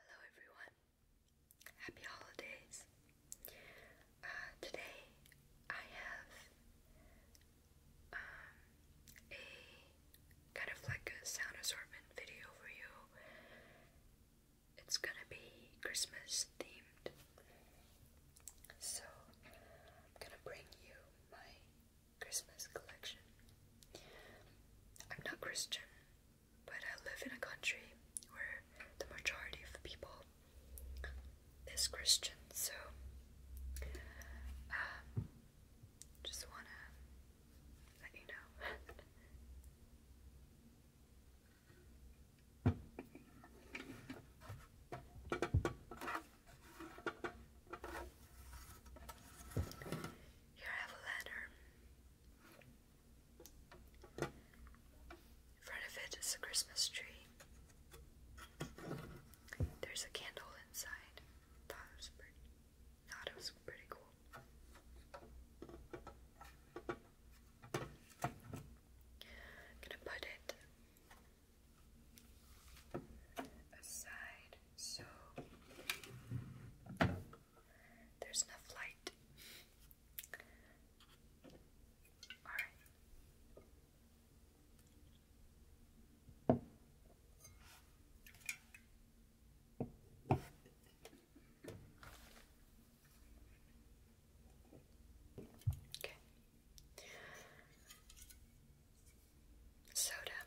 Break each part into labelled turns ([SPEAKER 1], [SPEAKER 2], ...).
[SPEAKER 1] Hello everyone. Happy holidays. Uh, today I have um, a kind of like a sound assortment video for you. It's gonna be Christmas themed. So I'm gonna bring you my Christmas collection. I'm not Christian, but I live in a country where the majority of people is Christian, so um, just wanna let you know. Here I have a letter. In front of it is a Christmas tree. There's a candle inside. Thought it was pretty. Thought it was pretty cool. I'm gonna put it aside so there's enough light. Alright. Okay. Soda.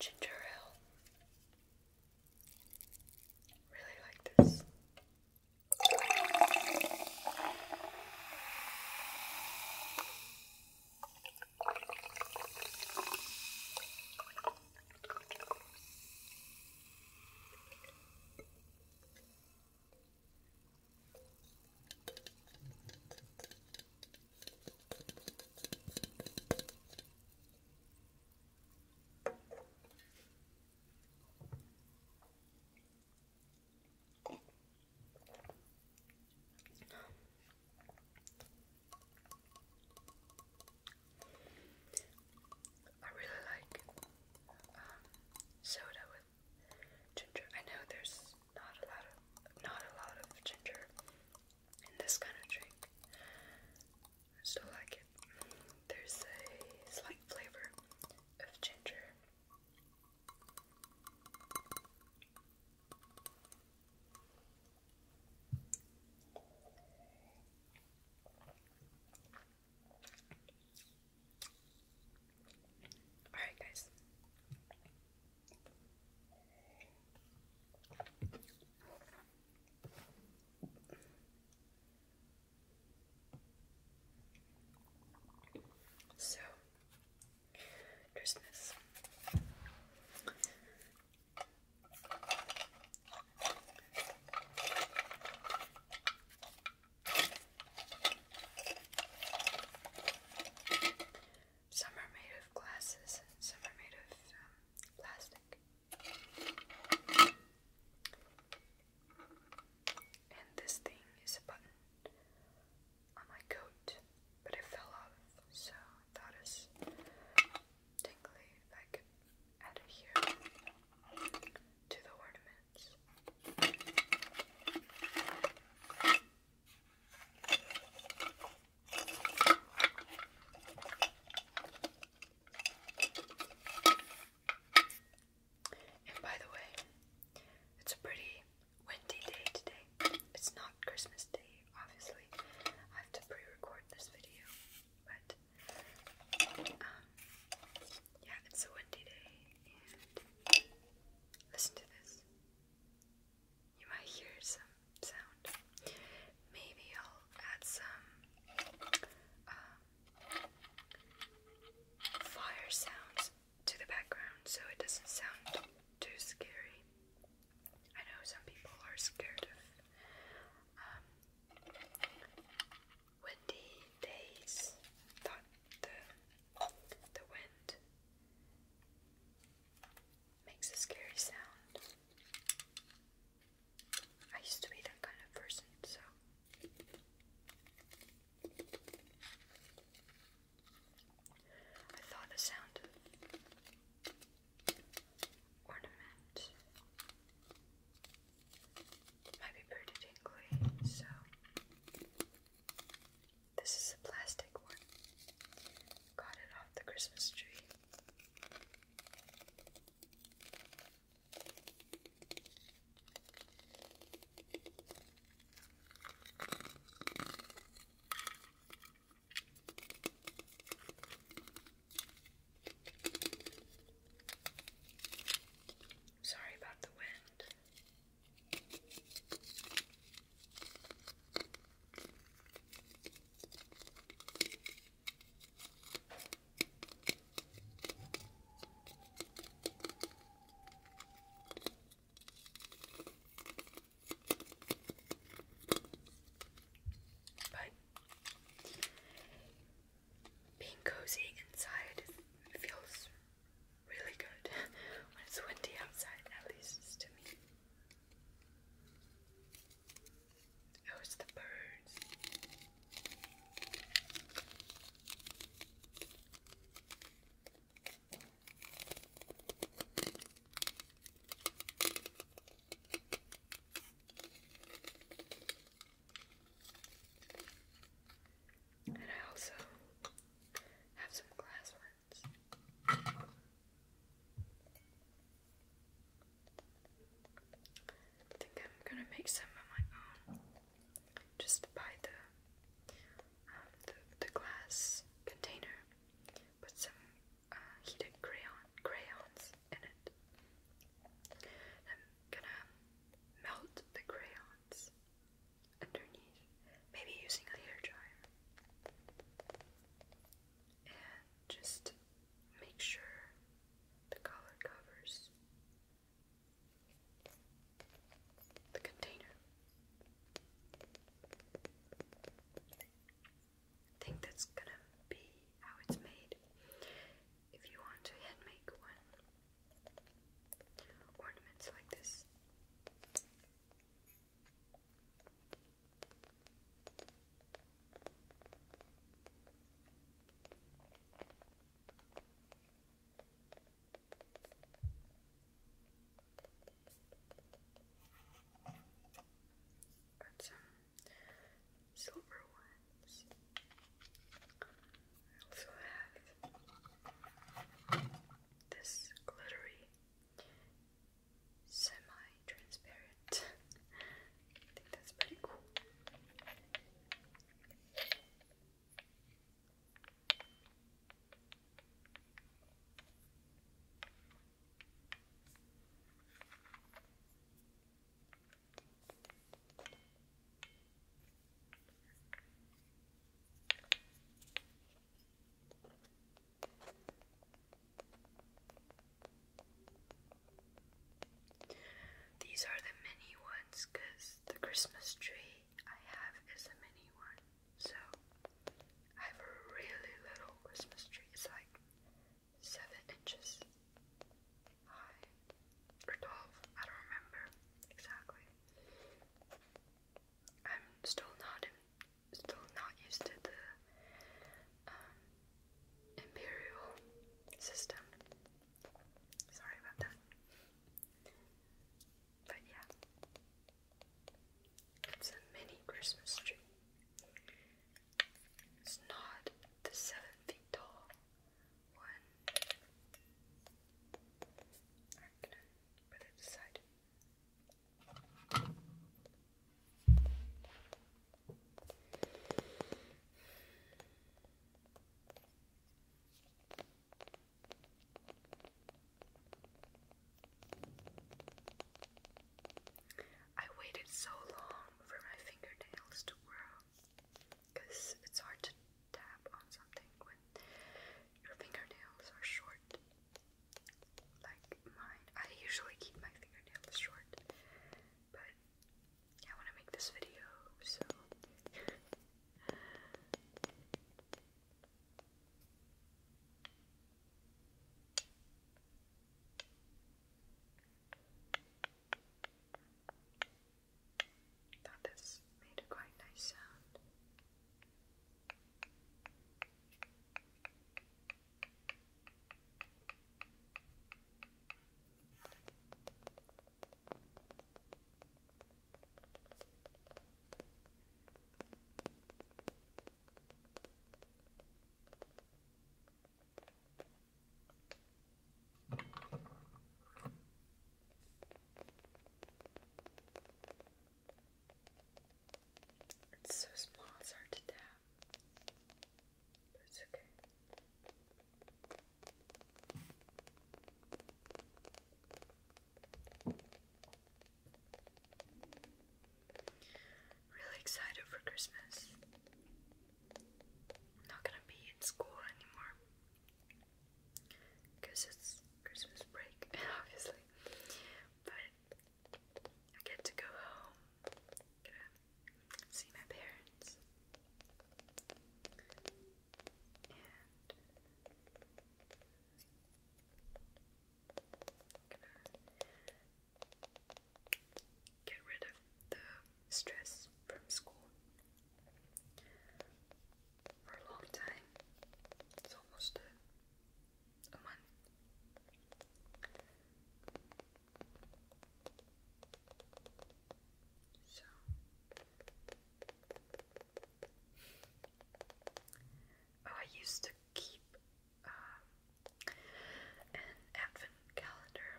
[SPEAKER 1] Ginger ale. Really like this. I really like um, soda with ginger. I know there's not a lot not a lot of ginger in this kind of drink. I still like it. There's a slight flavor of ginger. Alright, guys. So, Christmas. Some are made of glasses and some are made of um, plastic. And this thing is a button on my coat, but it fell off, so that is tingly if I could add it here to the ornament. And by the way, it's a pretty windy day today. It's not Christmas Day, obviously. I have to pre record this video, but um, yeah, it's a windy day, and listen to this. You might hear some sound. Maybe I'll add some um, fire sounds to the background so it doesn't sound too scary. I know some people are scared of um, windy days that the, the wind makes a scary sound. I used to be that kind of person, so. I thought the sound of ornament might be pretty tingly, so this is a plastic one. Got it off the Christmas tree. Sorry about the wind. But being cozy inside feels really good when it's windy outside, at least to me. Oh, it's the birds. And I also have some glass ones. I think I'm gonna make some of my own. Just buy um, the the, glass container, put some uh, heated crayon crayons in it. I'm gonna melt the crayons underneath, maybe using a hair dryer, and just make sure the color covers the container. I think that's gonna be how it's made. If you want to hand make one, ornaments like this. Got some silver ones. I also have this glittery semi-transparent. I think that's pretty cool. These are the mini ones because the Christmas tree I have is a mini one. So I have a really little Christmas tree. It's like seven inches high or twelve. I don't remember exactly. I'm still not still not used to the um, imperial system. Sorry about that. But yeah, it's a mini Christmas tree. It's not the seven feet tall one. I waited so long for my fingernails to grow because it's hard to tap on something your fingernails are short, like mine. I usually keep my fingernails short, but I want to make this video, so. That has made a quite nice sound. It's so small, it's hard to tap. But it's okay. Really excited for Christmas. not gonna be in school anymore because it's Christmas break, obviously. But I get to go home, gonna see my parents, and get rid of the stress from school for a long time. It's almost a, a month. So oh, I used to keep um, an advent calendar,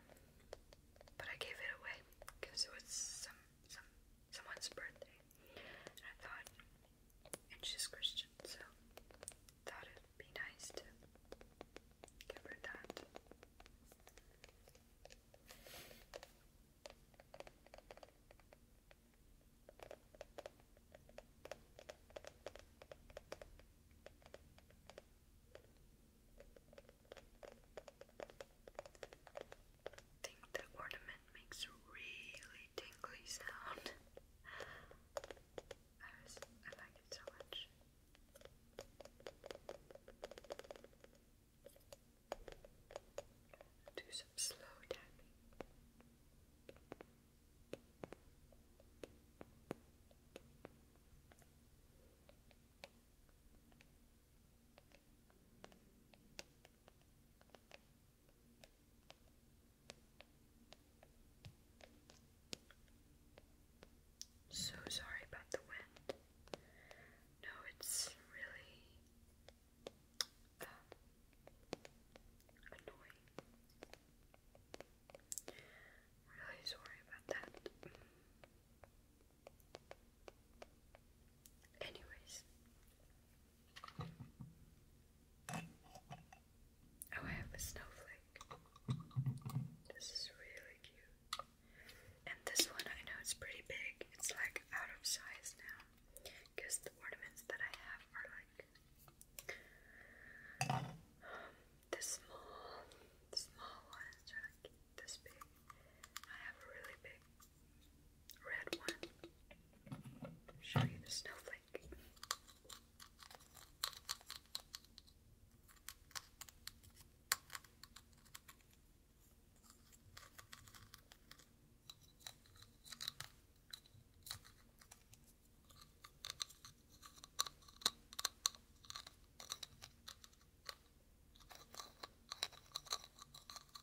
[SPEAKER 1] but I gave it away because it was some someone's birthday. And I thought, and she's Christian, so thought it'd be nice to give her that think the ornament makes really tingly sound. I, like it so much. Do some slow tapping. So sorry about the wind. No, it's really uh, annoying. Really sorry about that. Anyways, Oh, I have a snowflake. This is really cute. And this one, I know it's pretty big. It's like out of size now. Because the ornaments that I have are like the small, small ones are like this big. I have a really big red one. Show you the snowflake.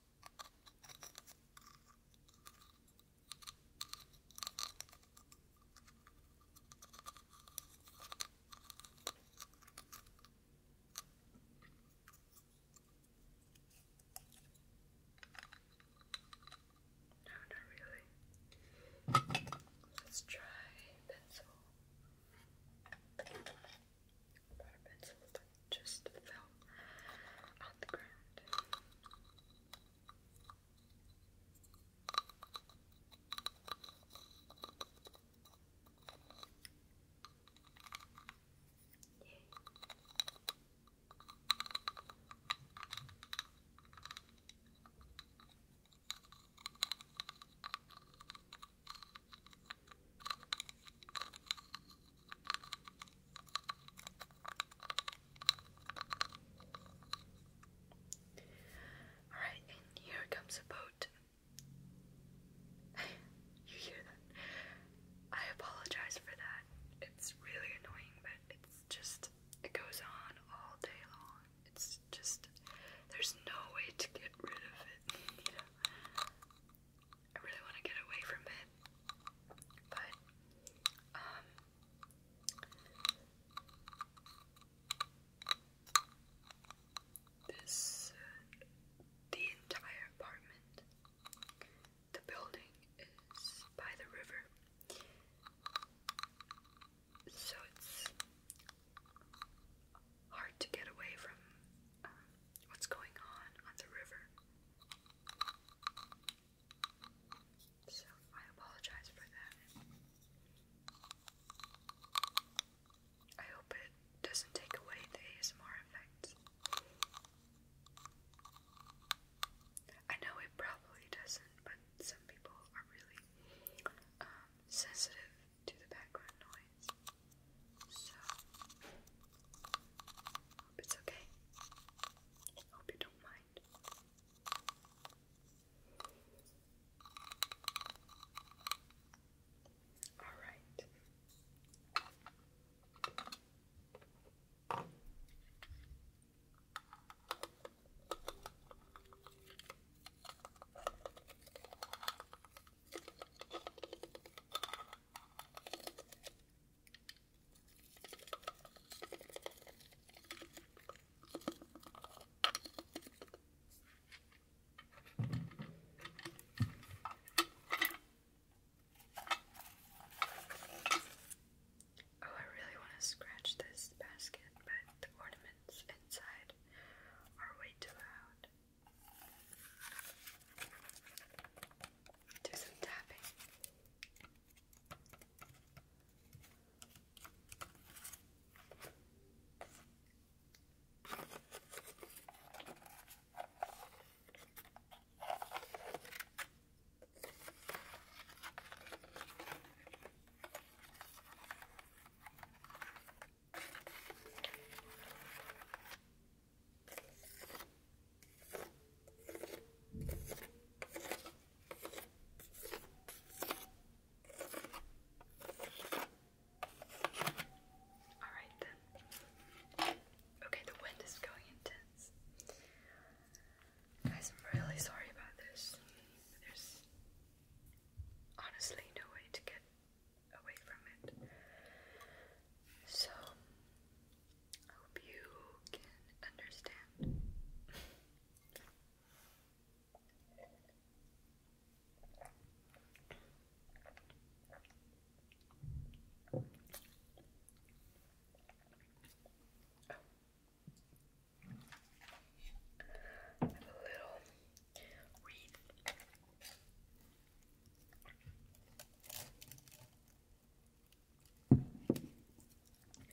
[SPEAKER 1] No, not really. Let's try pencil. Got a pencil just fell on the ground. Alright, and here comes a boat. you hear that? I apologize for that. It's really annoying, but it's just, it goes on all day long. It's just, there's no way to get rid of it. I really want to get away from it, but um, this the entire apartment, the building is by the river, so it's hard to get away from um, what's going on on the river. So I apologize for that. I hope it doesn't take away the ASMR effect. I know it probably doesn't, but some people are really um, sensitive to the background noise. So Hope it's okay. Hope you don't mind. All right. Oh, I really want to scratch this basket, but the ornaments inside are way too loud do some tapping. Okay. Alright then. Okay, the wind is going intense. Guys, I'm really sorry about this. There's honestly no way to get away from it. So I hope you can understand. a little wreath.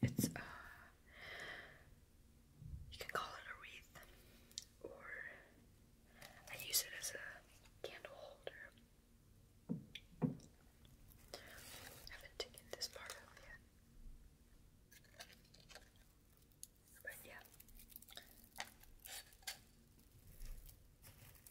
[SPEAKER 1] It's uh you can call it a wreath or I use it as a candle holder. I haven't taken this part off yet. But yeah.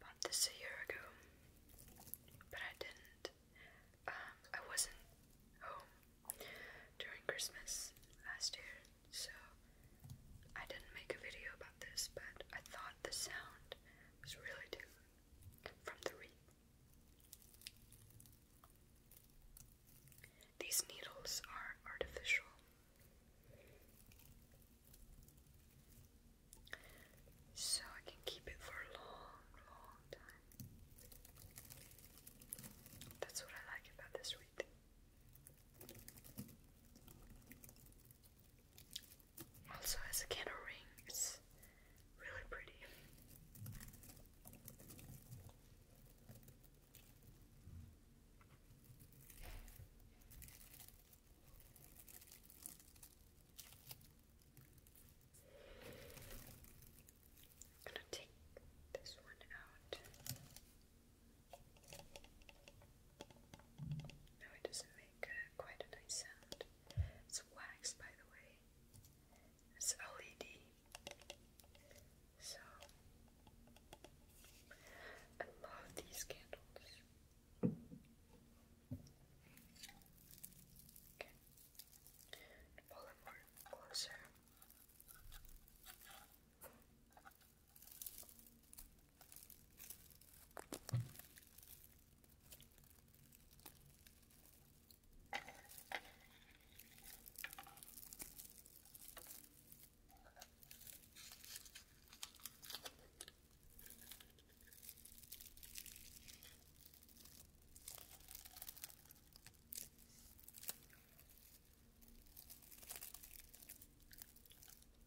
[SPEAKER 1] bought this a year ago, but I didn't. Um, I wasn't home during Christmas last year, so I didn't make a video about this, but I thought the sound was really different from the reed. These needles are artificial, so I can keep it for a long, long time. That's what I like about this wreath. Also has a candle ring. It's really pretty. I'm gonna take this one out. No, it doesn't make uh, quite a nice sound. It's wax, by the way. It's LED. So I love these candles. Okay. Pull them more closer.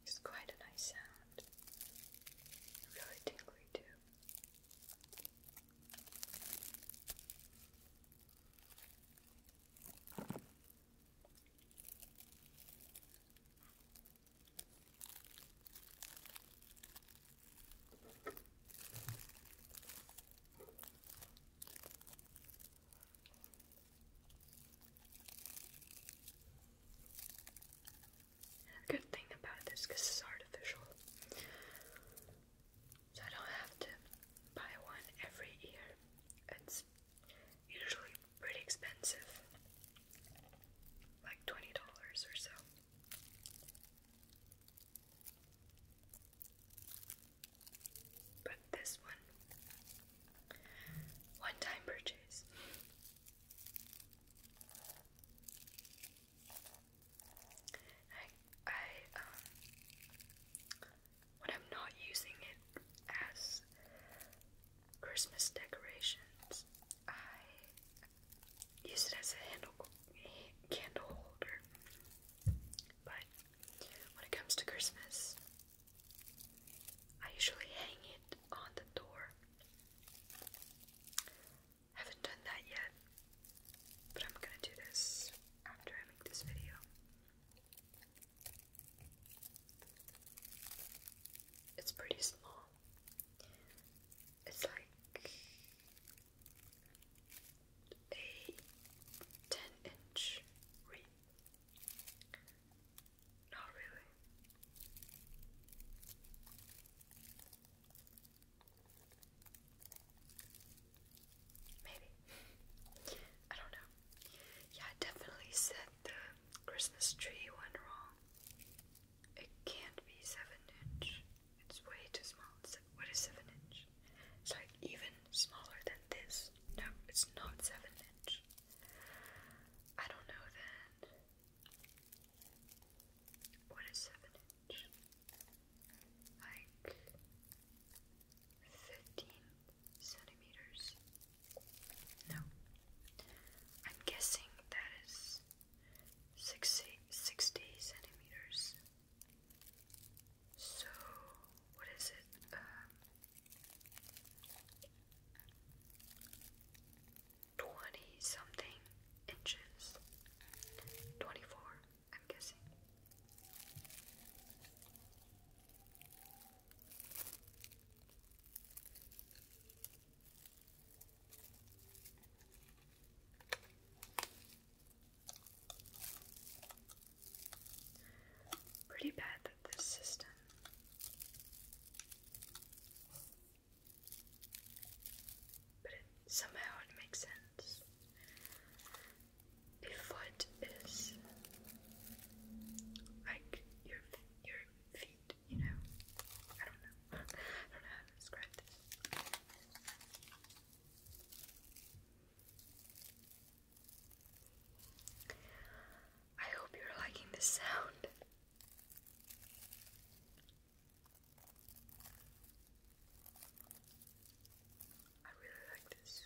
[SPEAKER 1] It's quite a nice sound, really tingly too. The good thing about this, because it's artificial, so I don't have to buy one every year. It's usually pretty expensive, like $20 or so. But this one, one time purchase. I, I um when I'm not using it as Christmas decorations, I use it as a handle, candle holder. But when it comes to Christmas, I usually hang it on the door. Haven't done that yet, but I'm gonna do this after I make this video. It's pretty small. It's like a 10 inch ring. Not really. Maybe. I don't know. Yeah, definitely said the Christmas tree went wrong. It can't be seven inch. It's way too small. What is seven inch? It's like even smaller than this. No, it's not seven inch. I don't know then. What is seven inch? Like thirteen centimeters. No, I'm guessing that is 60, centimeters. So, what is it? Um, 20 something inches. 24, I'm guessing. Pretty bad that this system but it, somehow makes sense. If foot is like your your feet, you know. I don't know. I don't know how to describe this. I hope you're liking the sound. I really like this.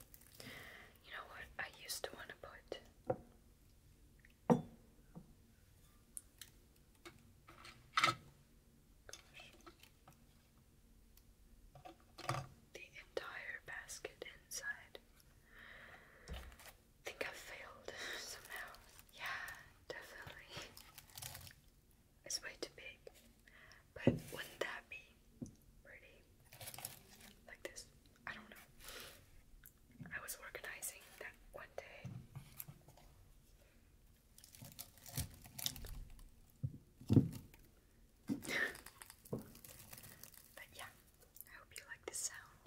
[SPEAKER 1] You know what? I used to want to put the entire basket inside. think I failed somehow. Yeah, definitely. It's way too big. But wouldn't that be pretty? Like this? I don't know. I was organizing that one day. but yeah, I hope you like this sound.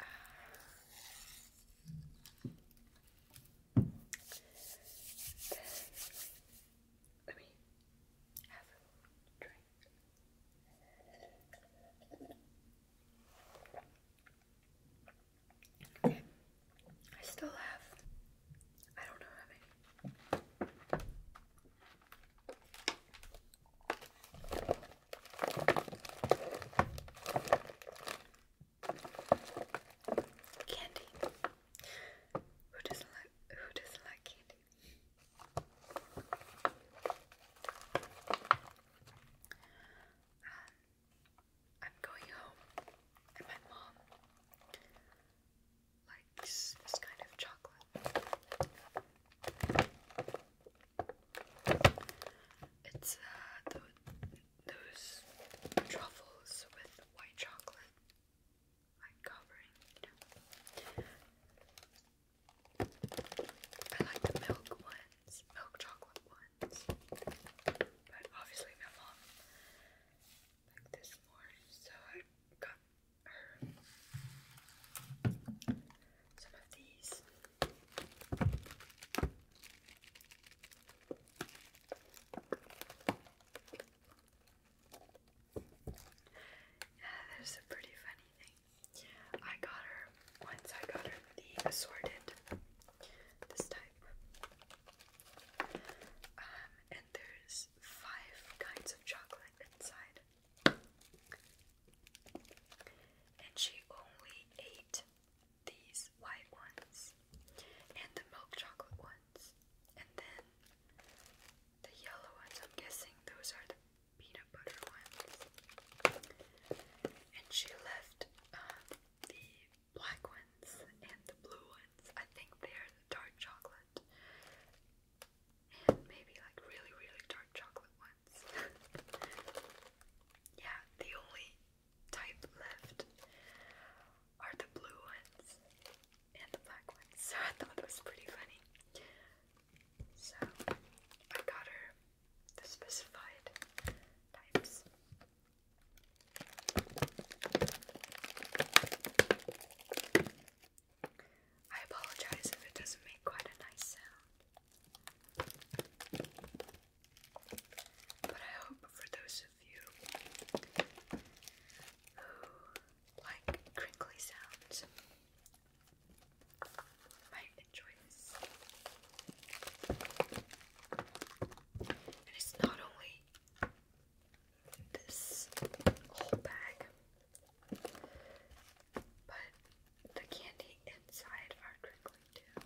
[SPEAKER 1] Uh, let me have a drink. I still have, I don't know how many. Candy. Who doesn't like who doesn't like candy? Um, I'm going home, and my mom likes this kind of chocolate. It's uh, those truffles with white chocolate, like covering, you know. I like the milk ones, milk chocolate ones. But obviously my mom liked this more, so I got her some of these. Yeah, there's a pretty funny thing I got her once I got her the assorted this type. Um, and there's five kinds of chocolate inside. And she only ate these white ones and the milk chocolate ones. And then the yellow ones, I'm guessing those are the peanut butter ones. And she left uh, the black ones and the blue ones. I think they're the dark chocolate. And maybe like really, really dark chocolate ones. yeah, the only type left are the blue ones and the black ones. So I thought that was pretty funny. So I got her the specified types. I apologize if it doesn't make quite a nice sound. But I hope for those of you who like crinkly sounds might enjoy this. And it's not only this whole bag, but the candy inside are crinkly too.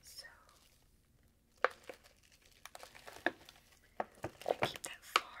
[SPEAKER 1] So keep that far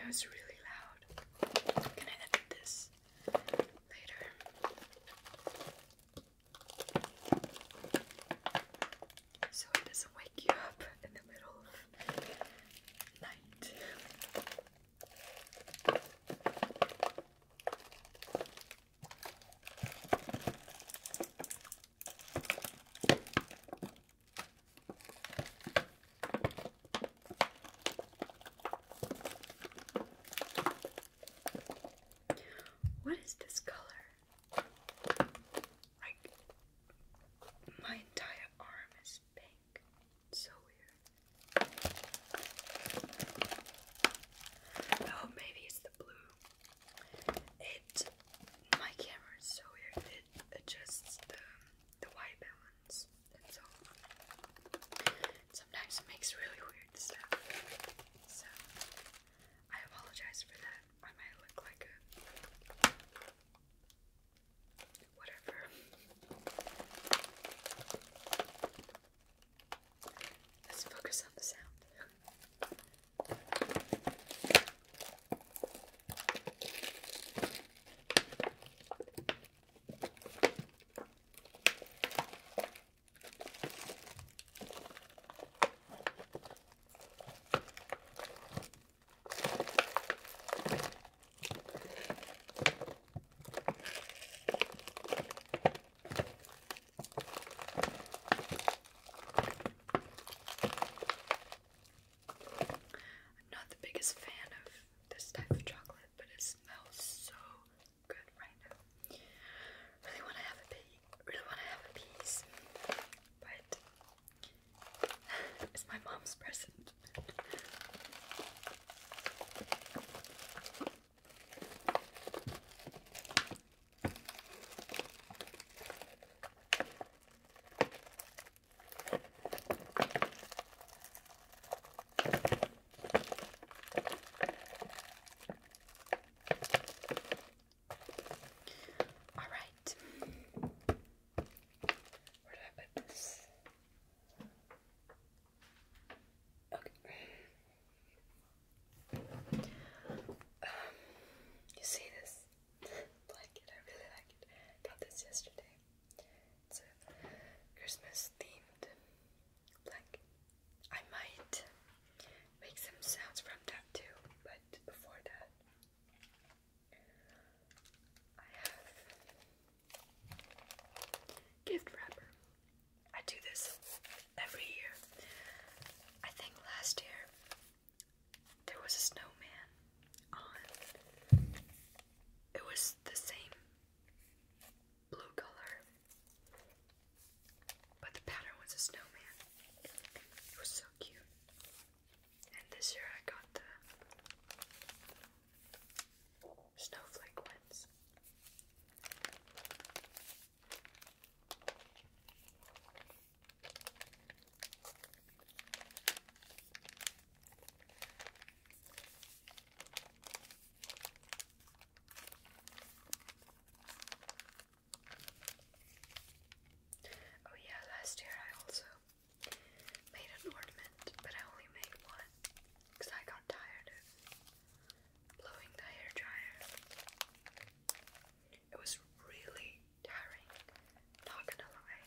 [SPEAKER 1] That was really loud. i edit this later so it doesn't wake you up in the middle of night. What is this color? Like, my entire arm is pink. so weird. Oh, maybe it's the blue. It, my camera is so weird. It adjusts the, the white balance. That's all. Sometimes it makes really weird stuff. So, I apologize for that. I might look like a whatever. Let's focus on the sound. I'm not the biggest fan of this type of chocolate, but it smells so good right now. Really wanna have a pee. Really wanna have a piece, but it's my mom's present. Alright. Where do I put this? Okay. Um, you see this blanket? I really like it. I this yesterday. It's a Christmas themed like, I might make some sounds from that too, but before that, I have gift wrapper. I do this every year. I think last year there was a snowman on. It was the same blue color but the pattern was a snowman. It was so cute. And this year I got the snowflake ones. Oh yeah, last year I also made an ornament, but I only made one because I got tired of blowing the hair dryer. It was really tiring, not gonna lie.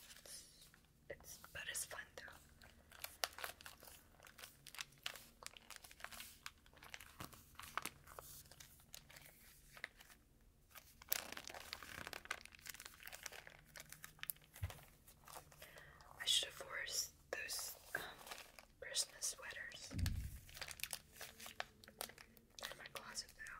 [SPEAKER 1] It's, but it's fun though. I should have worn those um, Christmas sweaters. in my closet now.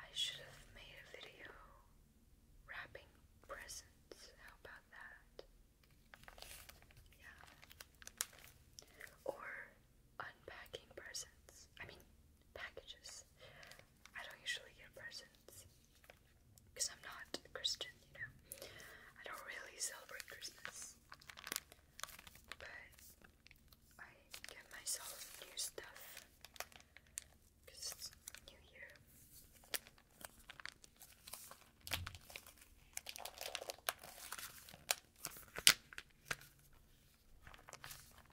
[SPEAKER 1] I should have made a video wrapping presents. How about that? Yeah. Or unpacking presents. I mean, packages. I don't usually get presents because I'm not a Christian, you know. I don't really celebrate Christmas, but I get myself new stuff because it's New Year.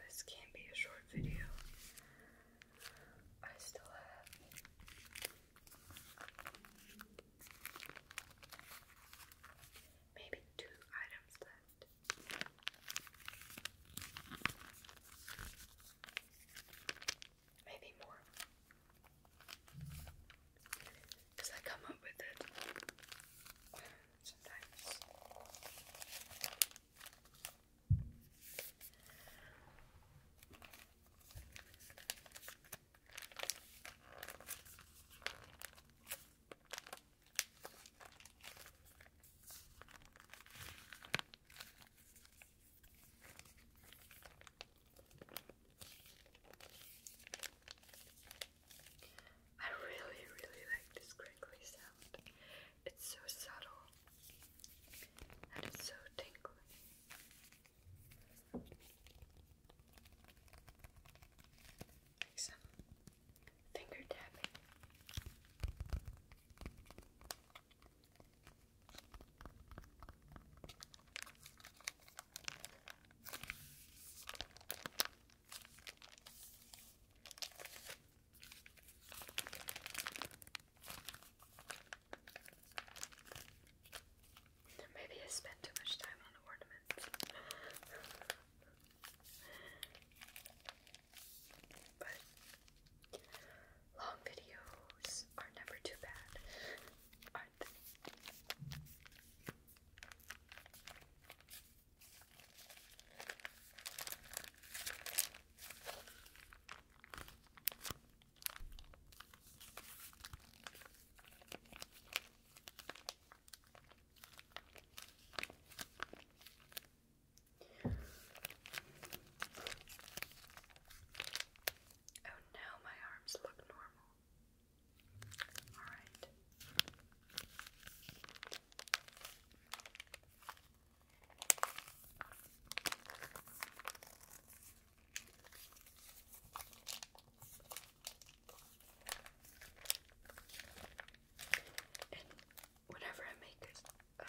[SPEAKER 1] this can be a short video. I still have maybe two items left. Maybe more. Because I come up with it sometimes. I really, really like this crinkly sound. It's so subtle and it's so tingly. finger tapping. Maybe I spend too much time on ornaments. but long videos are never too bad, Oh, now my arms look normal. All right whenever I make a uh,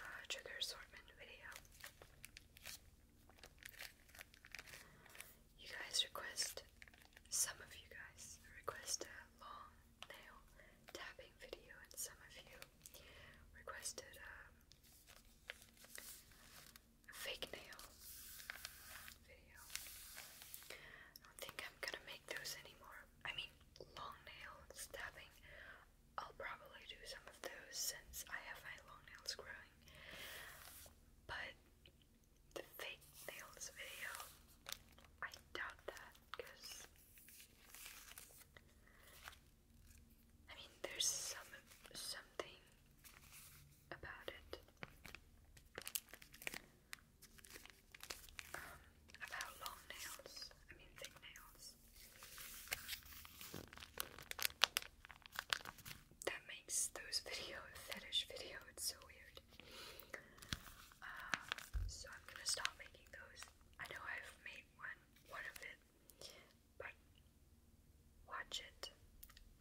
[SPEAKER 1] assortment video, you guys request some of you guys requested a long nail tapping video, and some of you requested um, a fake nail video. I don't think I'm gonna make those anymore. I mean, long nail stabbing. I'll probably do some of those since I have my long nails growing. But the fake nails video, I doubt that because I mean there's some something about it um, about long nails. I mean thick nails. That makes those video fetish video. It's so weird. Um, so I'm gonna stop making those. I know I've made one, one of it, but watch it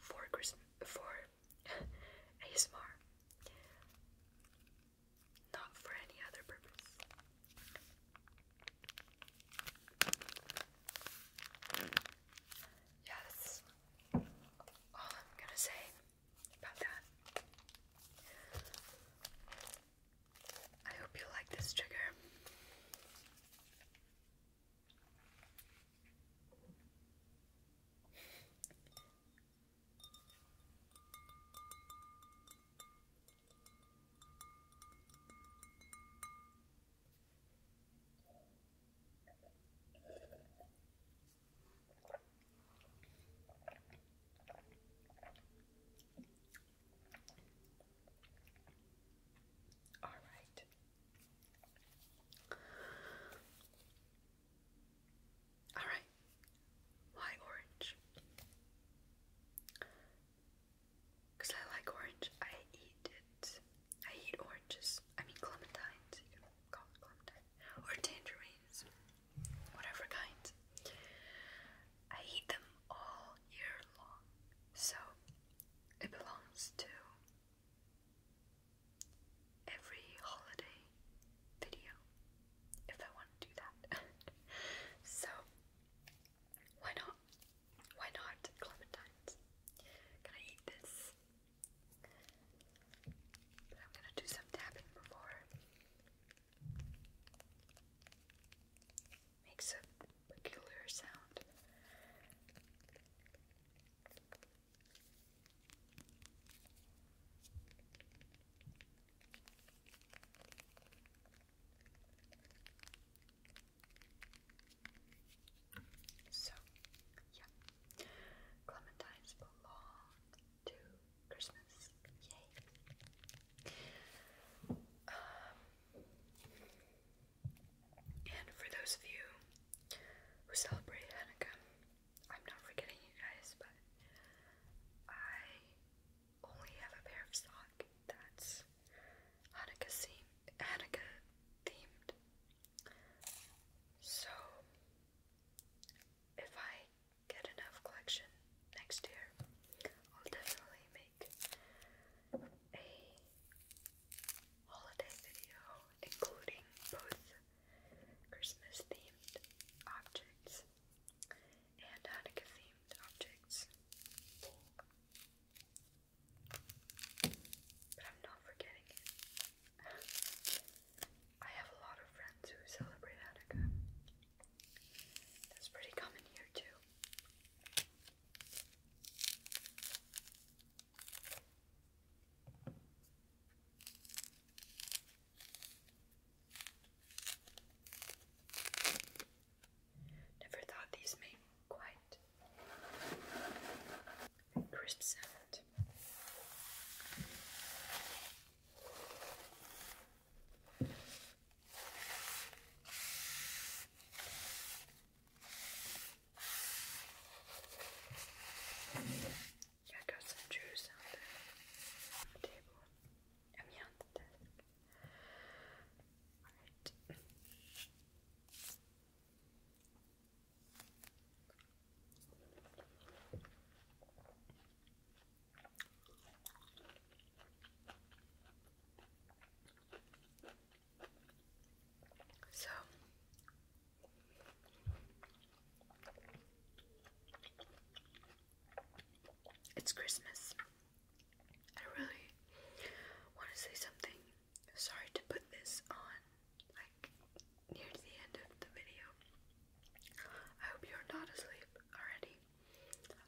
[SPEAKER 1] for Christmas, for ASMR, not for any other purpose. Yeah, all I'm gonna say about that. I hope you like this trigger. All right. All right. Why orange? Because I like orange. I eat it. I eat oranges. I mean, clementines. call it clementines or tangerines, whatever kind. I eat them all year long, so it belongs to every holiday video if I want to do that. so why not? Why not clementines? Can I eat this? I'm gonna do some tapping before. Makes a peculiar sound. So, yeah, clementines belong to Christmas. Yay. Um, and for those of you who celebrate Hanukkah, I'm not forgetting you guys, but I only have a pair of sock that's Hanukkah themed. So if I get enough collection next year, I'll definitely make a holiday video including both Christmas themed objects and Hanukkah themed objects. But I'm not forgetting it. I have a lot of friends who celebrate Hanukkah. That's pretty common here too. Never thought these made quite crisp sound. I got some juice on the table. I mean, on the desk. Alright. So it's Christmas. I really want to say something. Sorry to put this on like near the end of the video. I hope you're not asleep already.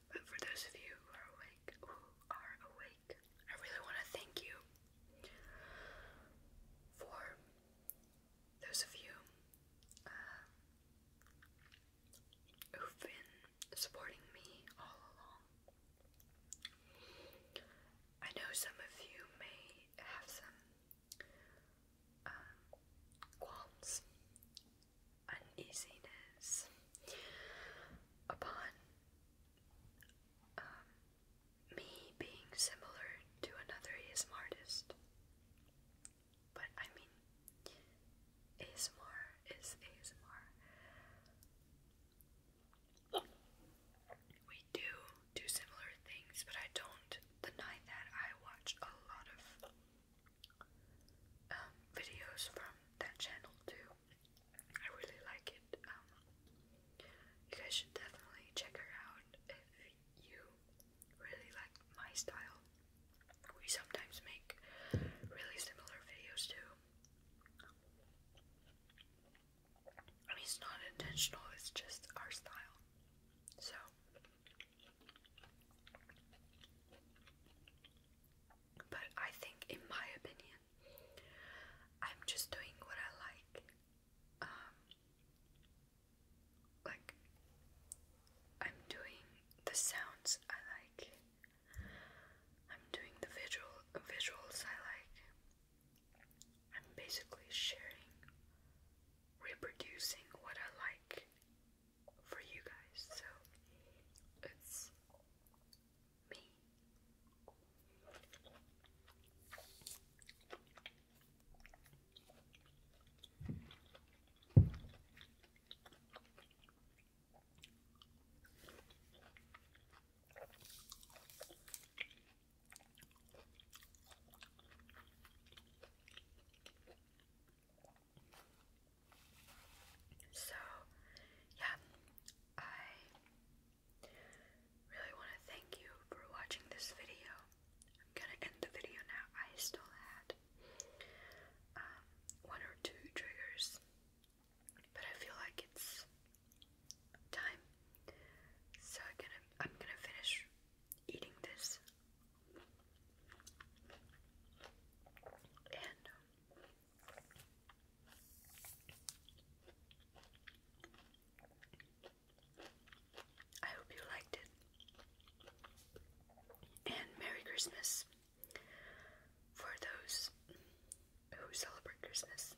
[SPEAKER 1] But for those of you who are awake, who are awake, I really want to thank you for those of you uh, who've been supporting me all along. I know some of you may have some um, qualms, uneasiness upon um, me being similar to another ASM artist. But I mean, ASMR is ASMR. We do do similar things, but I don't deny that I watch a lot of um, videos from that channel too. I really like it. Um, you guys should definitely check her out if you really like my style. We sometimes make really similar videos too. I mean, it's not intentional, it's just our style. So, but I think, in my opinion, I'm just doing what I like. Um, like, I'm doing the sounds I like, I'm doing the visual, visuals I like. I'm basically sharing, reproducing what I like for you guys. So it's me. So, yeah, I really want to thank you for watching this video. I'm gonna end the video now. I still had um, one or two triggers, but I feel like it's time. So I'm gonna I'm gonna finish eating this and um, I hope you liked it. And Merry Christmas for those who celebrate Christmas.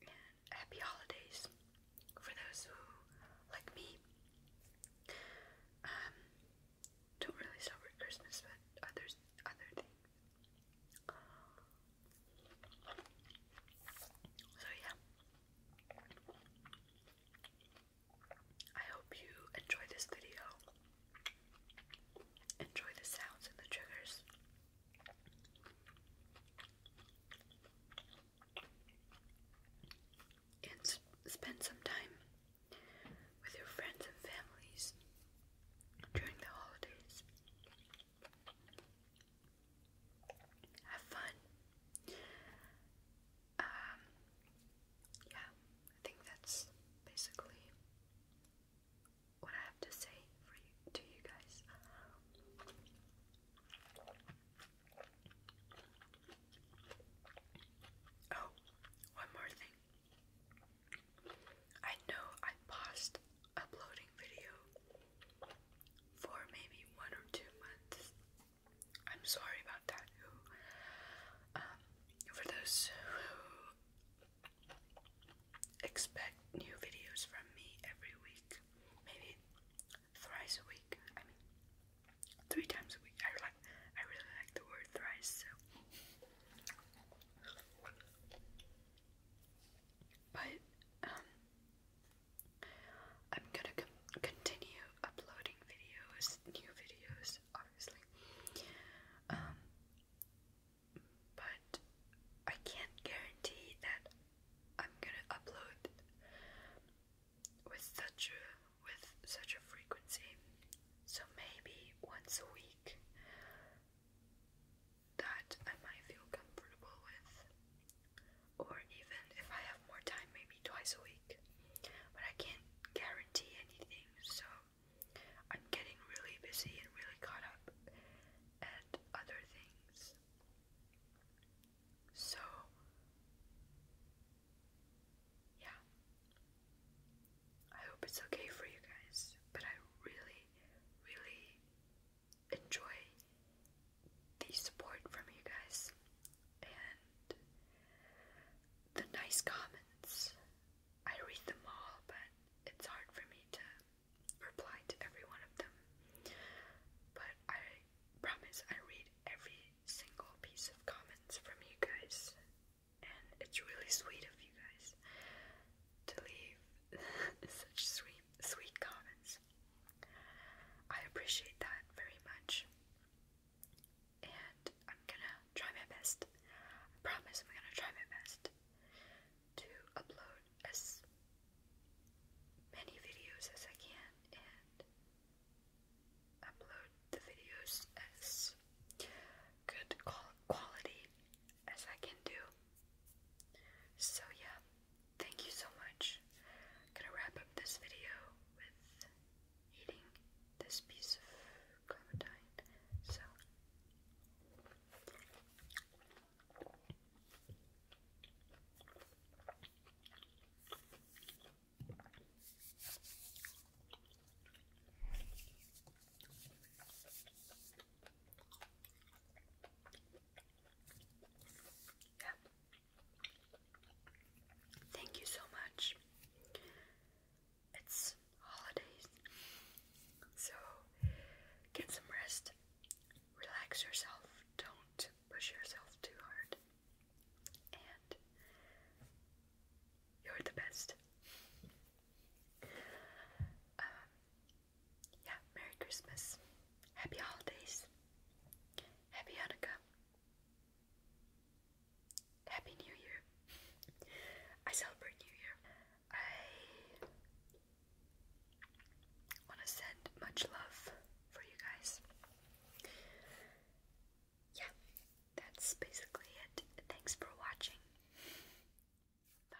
[SPEAKER 1] And happy holidays for those who, like me, um, don't really celebrate Christmas, but others, other things. So yeah, I hope you enjoy this video. Enjoy the sounds and the triggers. And spend some time with your friends and families during the holidays. Have fun. Um, yeah, I think that's basically what I have to say for to you guys. Oh, one more thing. I know I paused uploading video for maybe one or two months. I'm sorry about that. um, for those who expect new videos from me every week, maybe thrice a week. I mean, three times a week. I like I really like the word thrice, so but um, I'm gonna continue uploading videos, new videos, obviously. Um, but I can't guarantee that I'm gonna upload with such with such a frequency. So maybe once a week that I might feel comfortable with. Or even if I have more time, maybe twice a week. But I can't guarantee anything, so I'm getting really busy and really caught up at other things. So yeah. I hope it's okay for you guys, but I really, really enjoy the support from you guys and the nice comments. I read them all, but it's hard for me to reply to every one of them. But I promise I read every single piece of comments from you guys and it's really sweet of you guys to leave such sweet, sweet comments. I appreciate that very much, and I'm gonna try my best. I promise I'm gonna try my best to upload as many videos as I can and upload the videos as good quality as I can do. So yeah, thank you so much. gonna wrap up this video with eating this piece of clementine. So yeah. Thank you so much. It's holidays. So get some rest. Relax yourself. Don't push yourself too hard. And you're the best. Um, yeah, Merry Christmas. Happy Holidays. Happy Hanukkah. Happy New Year. I celebrate New Year. I want to send much love for you guys yeah, that's basically it. Thanks for watching. Bye.